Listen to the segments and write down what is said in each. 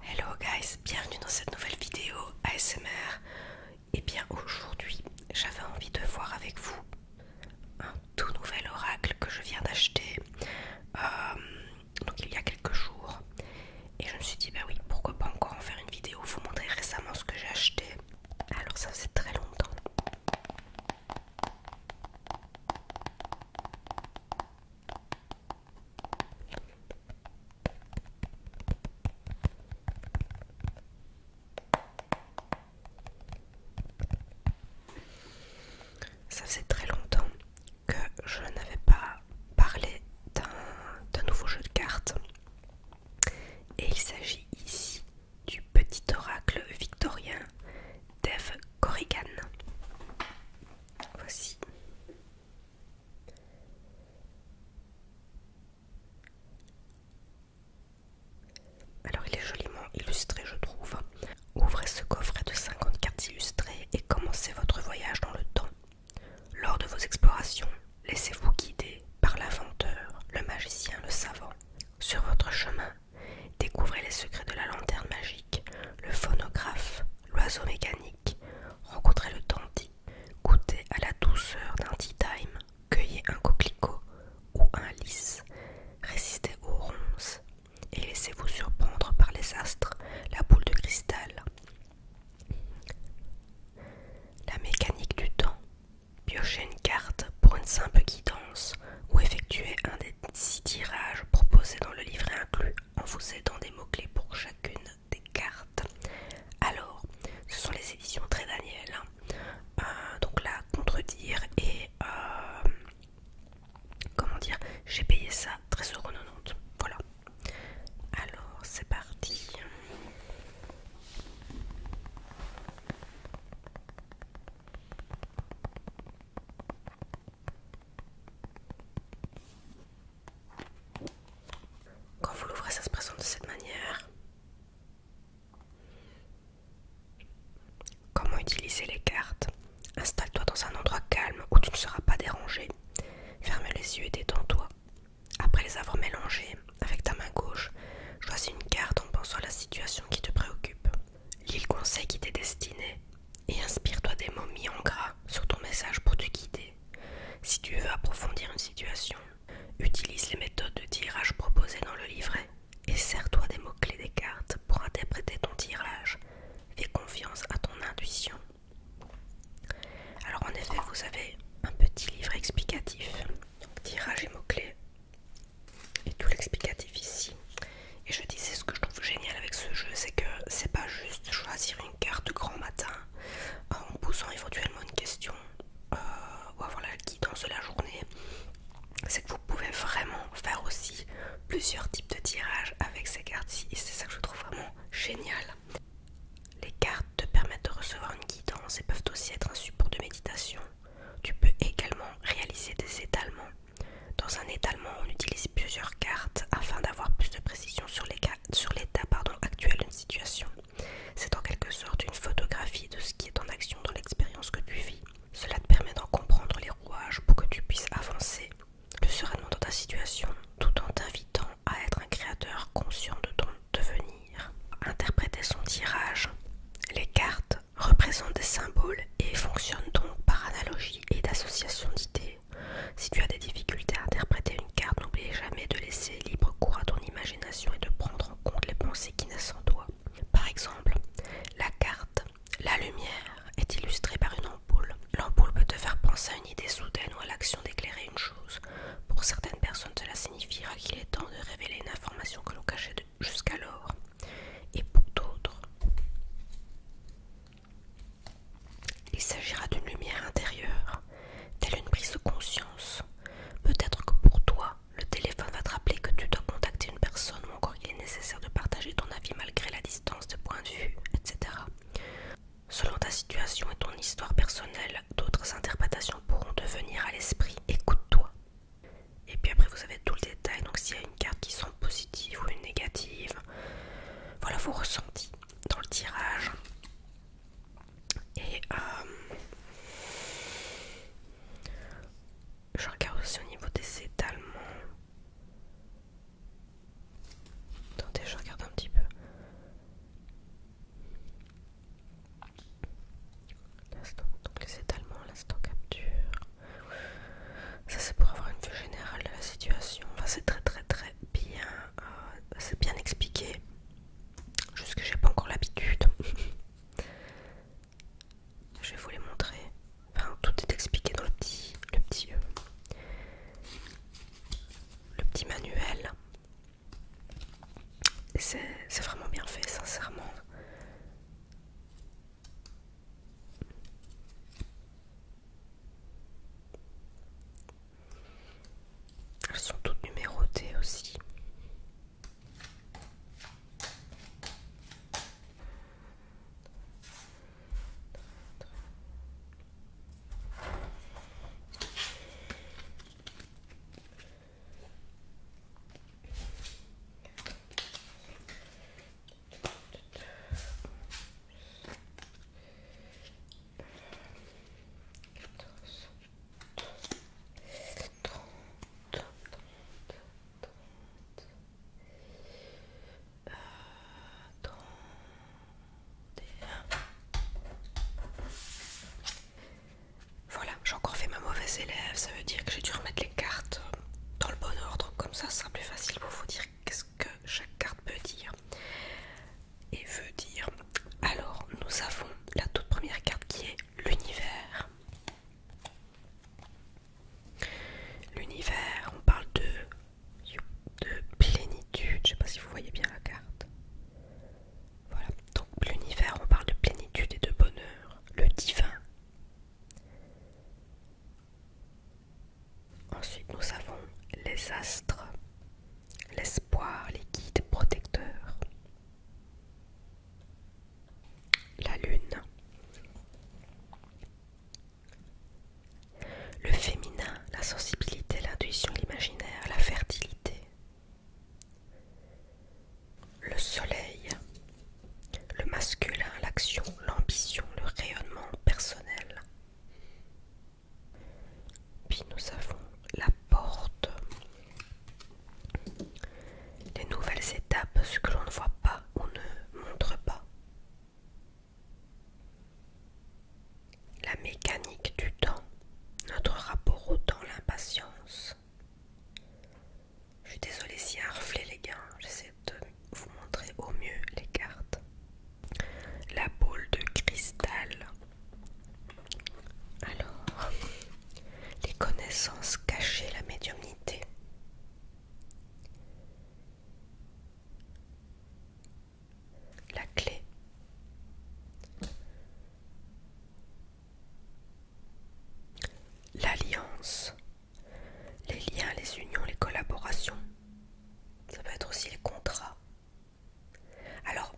Hello guys, bienvenue dans cette nouvelle vidéo ASMR. Et eh bien aujourd'hui, j'avais envie de voir avec vous un tout nouvel oracle que je viens d'acheter euh, donc il y a quelques jours. Et je me suis dit, bah oui, pourquoi pas encore en faire une vidéo, vous montrer récemment ce que j'ai acheté. Alors ça c'est très longtemps. Ça fait très longtemps que je n'avais pas parlé d'un nouveau jeu de cartes. Et il s'agit ici du petit oracle victorien d'Eve Corrigan. Voici. Alors il est joliment illustré je trouve. Ouvrez ce coffret de 50 cartes illustrées et commencez votre voyage dans le temps. Lors de vos explorations, laissez-vous guider par l'inventeur, le magicien, le savant. Sur votre chemin, découvrez les secrets de la lanterne magique, le phonographe, l'oiseau mécanique, Rencontrez le dandy, goûter à la douceur d'un tea time, cueillez un coquelicot ou un lys, Résistez aux ronces et laissez-vous surprendre par les astres, la boule de cristal, la mécanique du temps, Piochez une carte pour une simple guidance ou effectuez un des six tirages proposés dans le livret inclus en vous aidant des mots-clés pour chacune des cartes. Alors, ce sont les éditions Très Daniel. Hein. Euh, donc là, contredire et euh, comment dire, j'ai payé ça très heureux Voilà. Alors, c'est parti. Quand vous l'ouvrez, ça se présente de cette manière. Comment utiliser les cartes Installe-toi dans un endroit calme où tu ne seras pas dérangé. Ferme les yeux et détends-toi. Après les avoir mélangés, avec ta main gauche, choisis une carte en pensant à la situation qui te préoccupe. le conseil qui t'est destiné et inspire-toi des mots mis en gras sur ton message pour te guider. Si tu veux approfondir une situation, utilise les méthodes de tirage proposées dans le livret et sers-toi des mots-clés des cartes pour interpréter ton tirage. Fais confiance à ton intuition. Alors en effet, vous avez un petit livre explicatif, donc tirage et mots-clés, et tout l'explicatif ici. Et je disais ce que je trouve génial avec ce jeu, c'est que c'est pas juste choisir une carte grand matin euh, en posant éventuellement une question euh, ou avoir la guidance de la journée, c'est que vous pouvez vraiment faire aussi plusieurs types de tirages avec ces cartes-ci et c'est ça que je trouve vraiment génial. Les cartes te permettent de recevoir une guidance et peuvent aussi être un support de méditation. Tu peux également réaliser des étalements. Dans un étalement, on utilise plusieurs cartes afin d'avoir plus de précision sur les cartes sur l'état actuel d'une situation. C'est en quelque sorte une photographie de ce qui est en action dans l'expérience que tu vis. Cela te permet d'en comprendre les rouages pour que tu puisses avancer le sereinement dans ta situation tout en t'invitant à être un créateur conscient de ton devenir. Interpréter son tirage. Les cartes représentent des symboles et fonctionnent donc par analogie et d'association d'idées. Si tu as des difficultés à interpréter une carte, n'oublie jamais de laisser libre cours à ton imagination et de prendre en compte les pensées qui naissent en toi. Par exemple, la carte La lumière est illustrée par une ampoule. L'ampoule peut te faire penser à une idée soudaine ou à l'action d'éclairer une chose. Pour certaines personnes, cela signifiera qu'il est temps de révéler une information que l'on cachait jusqu'alors. Et pour d'autres, il s'agira d'une lumière intérieure, telle une prise de conscience. Peut-être que pour toi, le téléphone va te rappeler que tu dois contacter une personne ou encore qu'il est nécessaire de partager ton avis malgré la distance de point de vue, etc. Selon ta situation et ton histoire personnelle, d'autres interprétations pourront te venir à l'esprit. Écoute-toi. Et puis après, vous avez tout le détail. Donc, s'il y a une carte qui semble positive ou une négative, voilà vos ressentis dans le tirage. Et euh, je regarde aussi au niveau des étalements. Attendez, je regarde un petit peu. Donc les étalements, l'instant capture. Ça c'est pour avoir une vue générale de la situation. c'est très très très bien, euh, c'est bien expliqué. Juste que j'ai pas encore l'habitude. Je vais vous les montrer. tout est expliqué dans le petit, le petit, euh, le petit manuel. C'est vraiment bien fait, sincèrement. Elles sont toutes numérotées aussi. Voilà, j'ai encore fait ma mauvaise élève, ça veut dire que j'ai dû remettre les cartes dans le bon ordre, comme ça ce sera plus facile pour vous dire qu'est-ce que chaque carte peut dire et veut dire alors nous avons la toute première carte qui est l'univers. L'univers, on parle de, de plénitude, je sais pas si vous voyez bien la carte. Voilà, donc l'univers, on parle de plénitude et de bonheur, le divin. Ensuite, nous avons les astres, l'espoir, les guides protecteurs. La lune. Le féminin, la sensibilité, l'intuition, l'imaginaire, la fertilité. Le soleil. Le masculin, l'action, l'ambition, le rayonnement personnel. Puis nous avons la porte. Les nouvelles étapes, ce que l'on ne voit pas, on ne montre pas. La mécanique du temps, notre rapport au temps, l'impatience. Je suis désolée s'il y a les gars, j'essaie de vous montrer au mieux les cartes. La boule de cristal. Alors, les connaissances cachées, la médiumnité. La clé. L'alliance. Les liens, les unions, les collaborations. Ça peut être aussi les contrats, alors,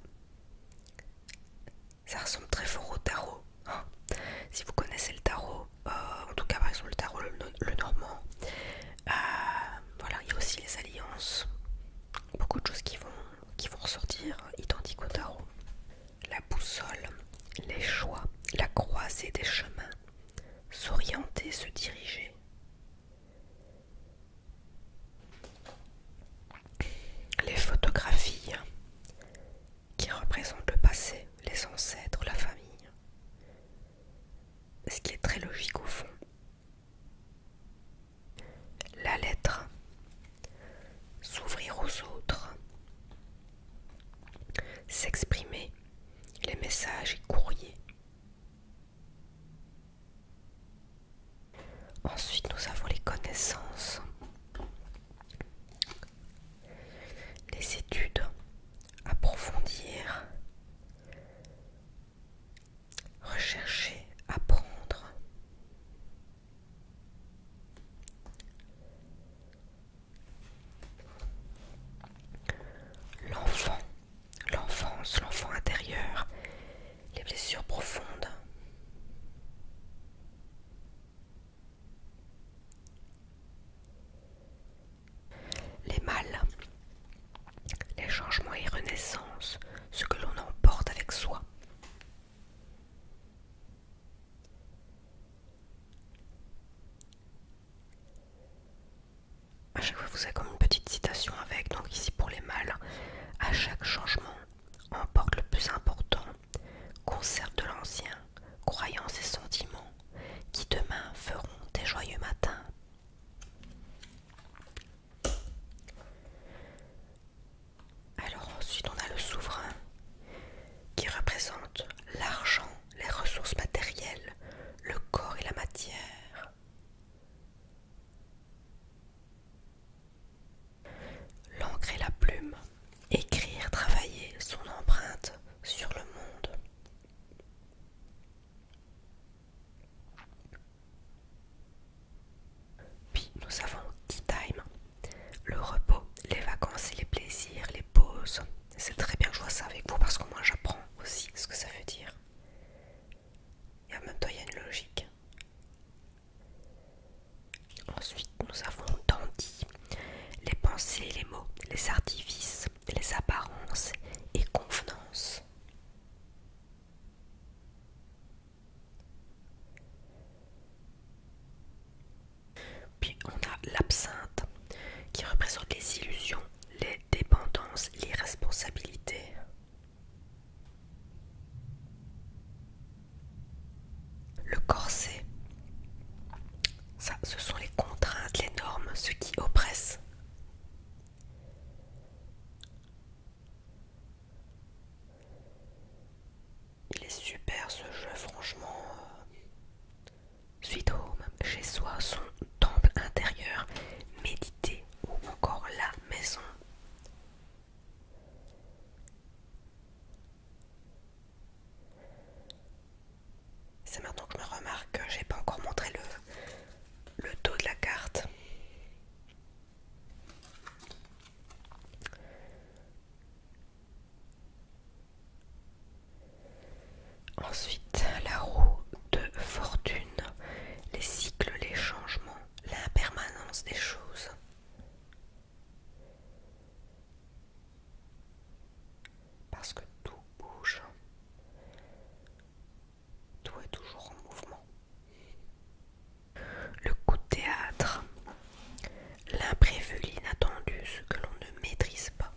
ça ressemble très fort au tarot. Hein. si vous connaissez le tarot, euh, en tout cas par exemple le tarot le, normand, euh, voilà, il y a aussi les alliances, beaucoup de choses qui vont, qui vont ressortir, hein, identiques au tarot. La boussole, les choix, la croisée des chemins, s'orienter, se diriger. Les photographies qui représentent le passé, les ancêtres, la famille. Ce qui est très logique au fond. La lettre, s'ouvrir aux autres, s'exprimer, les messages et courriers. Ensuite, nous avons les connaissances, les études, approfondir, rechercher, apprendre. L'enfant, l'enfance, l'enfant intérieur, les blessures profondes. Les mâles, les changements et renaissances, ce que l'on emporte avec soi à chaque fois vous avez comme une petite citation avec, donc ici pour les mâles, à chaque changement, emporte le plus important, conserve de l'ancien, croyance et sentiments, qui demain feront des joyeux matins. Alors ensuite on a le souverain qui représente l'argent, les ressources matérielles, le corps et la matière. L'encre et la plume, écrire, travailler son empreinte sur le monde. Puis nous avons tea time, le repos, les vacances et les plaisirs, les pauses. C'est très bien que je vois ça avec vous parce que moi j'apprends aussi ce que ça veut dire. Et en même temps, il y a une logique. Ensuite, nous avons Dandy, les pensées, les mots, les artifices, les apparences et convenances. Puis on a l'absinthe qui représente les illusions, les dépendances, les responsabilités. Le corset, ça, ce sont les contraintes, les normes, ce qui oppresse. Il est super ce jeu, franchement. Euh, au Home, chez soi, son temple intérieur, méditer ou encore la maison c'est maintenant que je me remarque que j'ai pas encore montré le, le dos de la carte. Ensuite, la roue de fortune, les cycles, les changements, l'impermanence des choses. Parce que tout bouge. Tout est toujours en mouvement. Le coup de théâtre. L'imprévu, l'inattendu, ce que l'on ne maîtrise pas.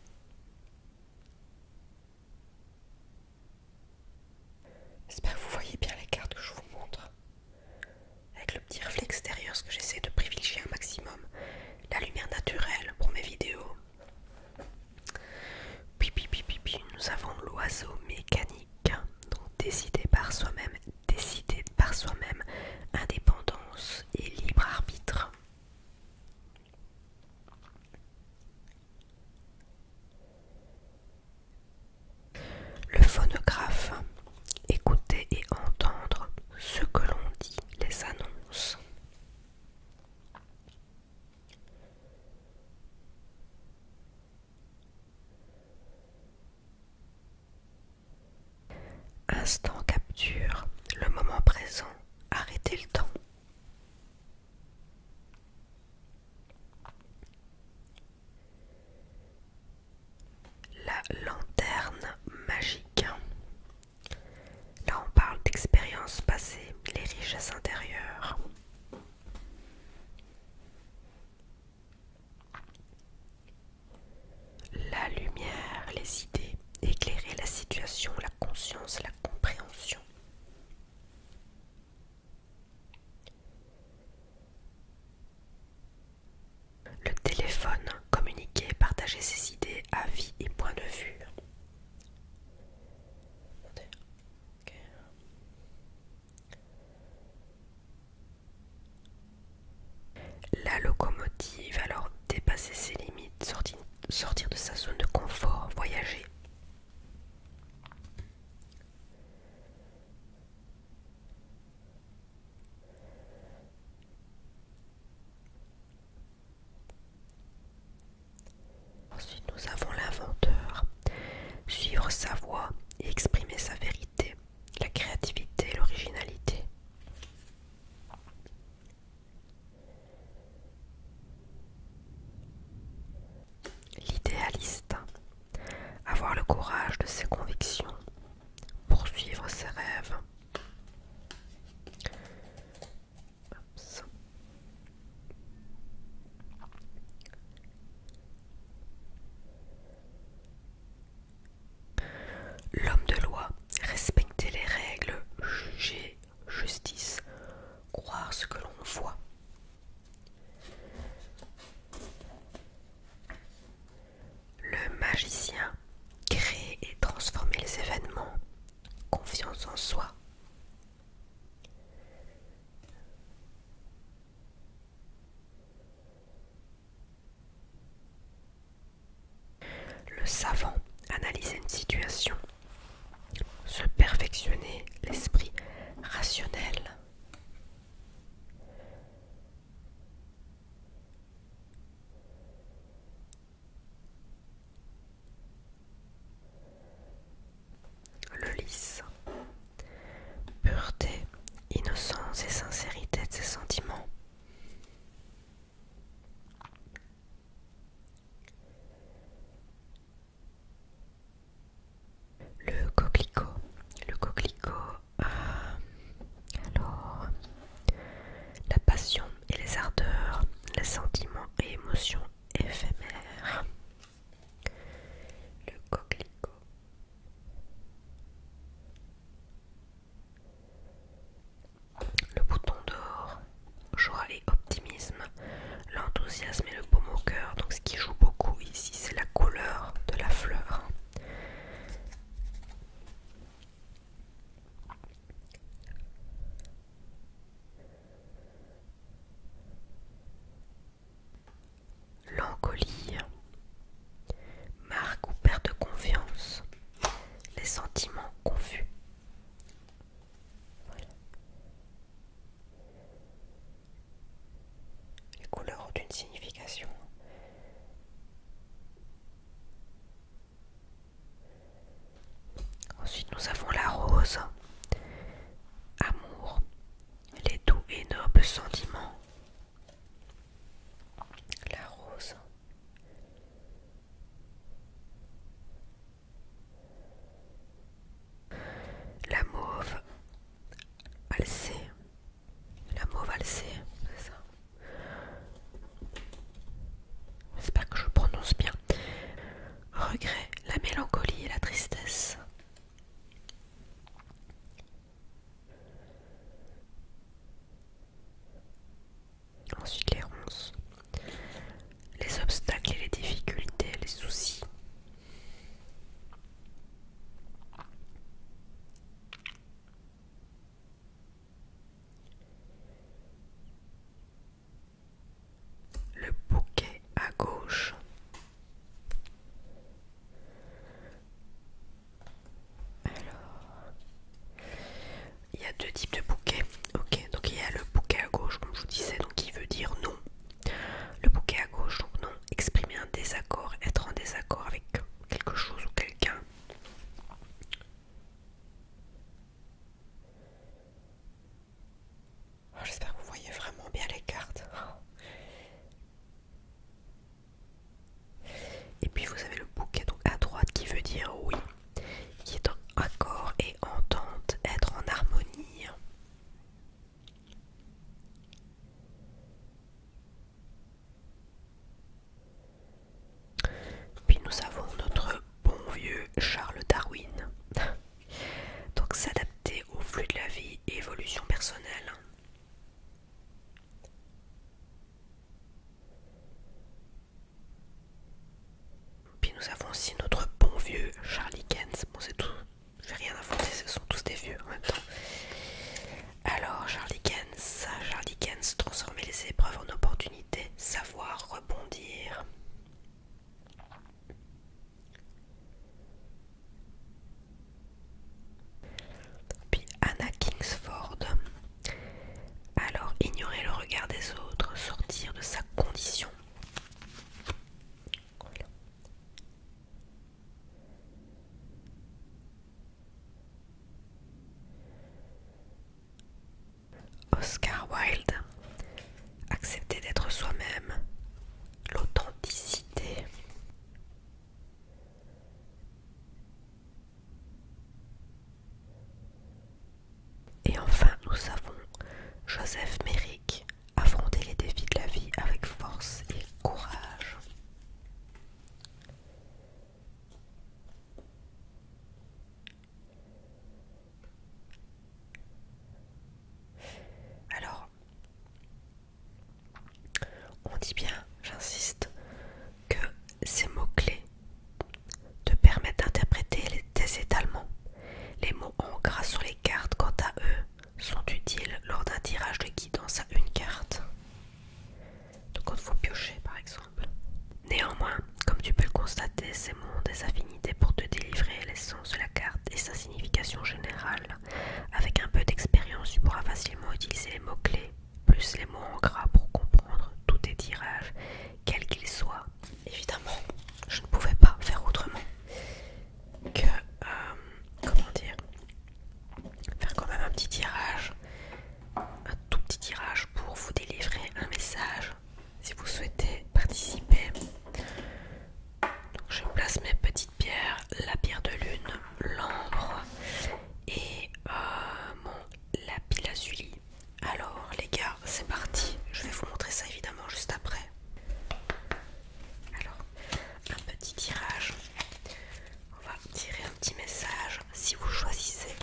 J'espère que vous voyez bien les cartes que je vous montre. Avec le petit reflet extérieur, ce que j'essaie de privilégier un maximum. La lumière naturelle pour mes vidéos. puis nous avons l'oiseau mécanique. Donc décider par soi-même, décider par soi-même, indépendance et libre arbitre. Le phonographe, écouter et entendre ce que l'on dit, les annonces. Instant capture, le moment présent, arrêtez le temps. La lanterne magique. Là on parle d'expériences passées, les richesses intérieures. La lumière, les idées, éclairer la situation, la conscience, la compréhension. Le téléphone communiquer, partager ses idées, avis et points de vue. La locomotive alors dépasser ses limites, sortir de sa zone de confort, voyager. Ensuite, nous avons l'inventeur. Suivre sa voix et exprimer sa vérité, la créativité l'originalité. L'idéaliste, avoir le courage de ses convictions, poursuivre ses rêves. L'homme de loi, respecter les règles, juger, justice, croire ce que l'on voit, le magicien crée et transformer les événements. Confiance en soi. Le savant analyser une situation, se perfectionner l'esprit rationnel. Le lys. Pureté, innocence et sincérité de ses sentiments. Le coquelicot. Le coquelicot. Euh, alors, la passion et les ardeurs, les sentiments et émotions éphémères. Le coquelicot. Le bouton d'or, joie et optimisme l'enthousiasme et le beau au cœur. Donc ce qui joue beaucoup ici, c'est la couleur de la fleur. L'encolie marque ou perte de confiance, les sentiments confus. Voilà. Les couleurs ont une signification. Ensuite, nous avons la rose. Amour, les doux et nobles sentiments. La rose. La mauve, valser, la mot valser, c'est ça. J'espère que je prononce bien. Regret, la mélancolie et la tristesse. Ensuite les ronces, les obstacles et les difficultés, les soucis, le bouquet à gauche. Alors, il y a deux types de bouquets. donc il y a le bouquet à gauche, comme je vous disais, donc qui veut dire non le bouquet à gauche, donc non, exprimer un désaccord, être en désaccord avec quelque chose ou quelqu'un. Oh, j'espère que vous voyez vraiment bien les cartes. Et puis vous avez le bouquet à droite qui veut dire oui, qui est en accord et entente, être en harmonie. Puis nous avons notre bon vieux Charles Darwin. Donc s'adapter au flux de la vie et évolution personnelle. Puis nous avons aussi notre bon vieux Charlie Kent. Bon, c'est tout, j'ai rien à ce sont tous des vieux en même temps. Alors, Charlie Kens, Charlie transformer les épreuves en opportunités, savoir rebondir. Puis Anna Kingsford. Alors, ignorer le regard des autres, sortir de sa condition. Oscar Wilde, accepter d'être soi-même, l'authenticité. Et enfin, nous avons Joseph Merrick, affronter les défis de la vie avec force et courage. Alors, on dit bien, j'insiste, que ces mots-clés te permettent d'interpréter tes étalements. Les mots en gras sur les cartes, quant à eux, sont utiles lors d'un tirage de guidance à une carte. Donc quand vous piochez par exemple. Néanmoins, comme tu peux le constater, ces mots ont des affinités pour te délivrer l'essence de la carte et sa signification générale. Avec un peu d'expérience, tu pourras facilement utiliser les mots-clés, plus les mots en gras pour comprendre tous tes tirages, quels qu'ils soient. Évidemment, je ne pouvais pas faire autrement que euh, comment dire faire quand même un petit tirage un tout petit tirage pour vous délivrer un message si vous souhaitez participer je place mes petites pierres la pierre de lune l'ambre et la euh, mon lapis lazuli alors les gars c'est parti je vais vous montrer ça évidemment juste après alors, un petit tirage. On va tirer un petit message. Si vous choisissez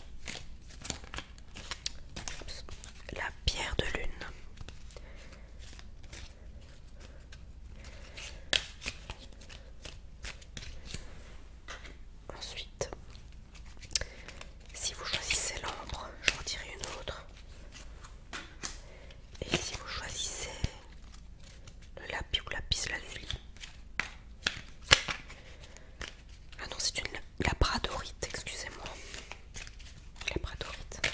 la pierre de lune, ensuite, si vous choisissez l'ombre, j'en dirai une autre. Et si vous choisissez le lapis ou lapis la Ah non, c'est une labradorite, excusez-moi. Labradorite.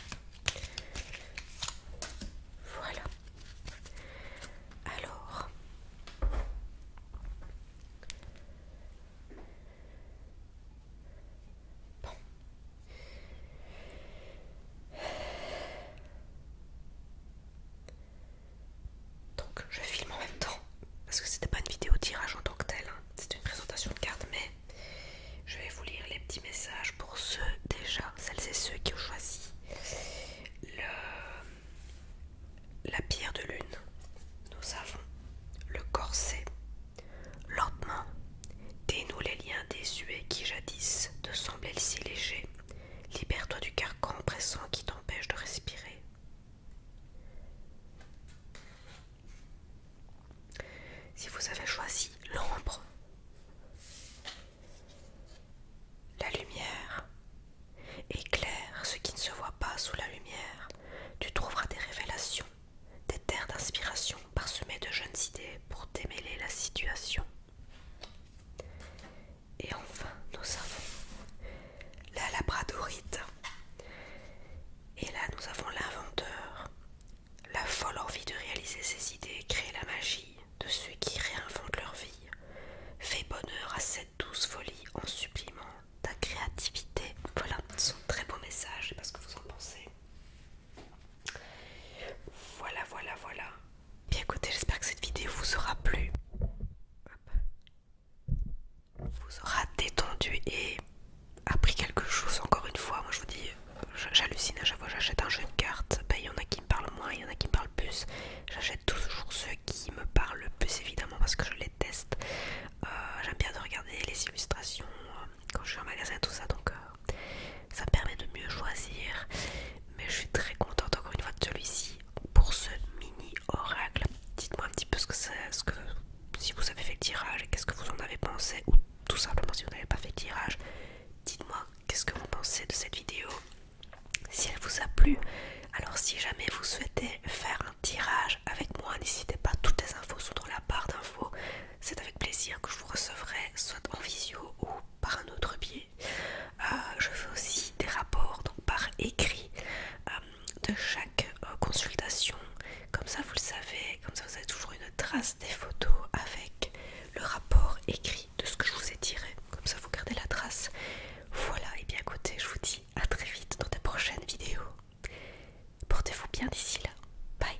Voilà. Alors. Bon, donc je filme en même temps parce que c'était pas une vidéo tirage en tant que telle, C'était hein. c'est une présentation de cartes, mais je vais vous lire les petits messages pour ceux déjà, celles et ceux qui ont choisi la pierre de lune. Nous avons le corset, lentement Dénoue les liens désuets qui jadis te semblaient si légers. Libère-toi du carcan pressant qui t'empêche de respirer. Si vous avez choisi l'ombre, la lumière éclaire ce qui ne se voit pas sous la lumière, tu trouveras des révélations, des terres d'inspiration parsemées de jeunes idées pour démêler la situation. Et enfin, nous avons la labradorite. Et là, nous avons l'inventeur, la folle envie de réaliser ses idées, créer la magie de ceux qui réinventent leur vie, Fais bonheur à cette douce folie en supplément ta créativité. Voilà, ce sont très beau message Je sais pas ce que vous en pensez. Voilà, voilà, voilà. Bien écoutez, j'espère que cette vidéo vous aura plu. Vous aura détendu et appris quelque chose encore une fois. Moi je vous dis, j'hallucine à chaque fois j'achète un jeu de cartes. Ben, il y en a qui me parlent moins, il y en a qui me parlent plus. J'achète toujours ceux qui me parlent le plus évidemment parce que je les teste. Euh, j'aime bien de regarder les illustrations euh, quand je suis en magasin, tout ça. Donc euh, ça permet de mieux choisir. Mais je suis très contente encore une fois de celui-ci pour ce mini oracle. Dites-moi un petit peu ce que c'est, ce que, si vous avez fait le tirage et qu'est-ce que vous en avez pensé. Ou tout simplement si vous n'avez pas fait le tirage. Dites-moi qu'est-ce que vous pensez de cette vidéo. Si elle vous a plu, alors si jamais vous souhaitez faire un tirage avec moi, n'hésitez pas, toutes les infos sont dans la barre d'infos. C'est avec plaisir que je vous recevrai soit en visio ou par un autre biais. Euh, je fais aussi des rapports donc par écrit euh, de chaque euh, consultation. Comme ça, vous le savez, comme ça, vous avez toujours une trace des photos avec le rapport écrit de ce que je vous ai tiré. Comme ça, vous gardez la trace. Voilà, et bien écoutez, je vous dis à très vite dans de prochaines vidéos. Portez-vous bien d'ici là. Bye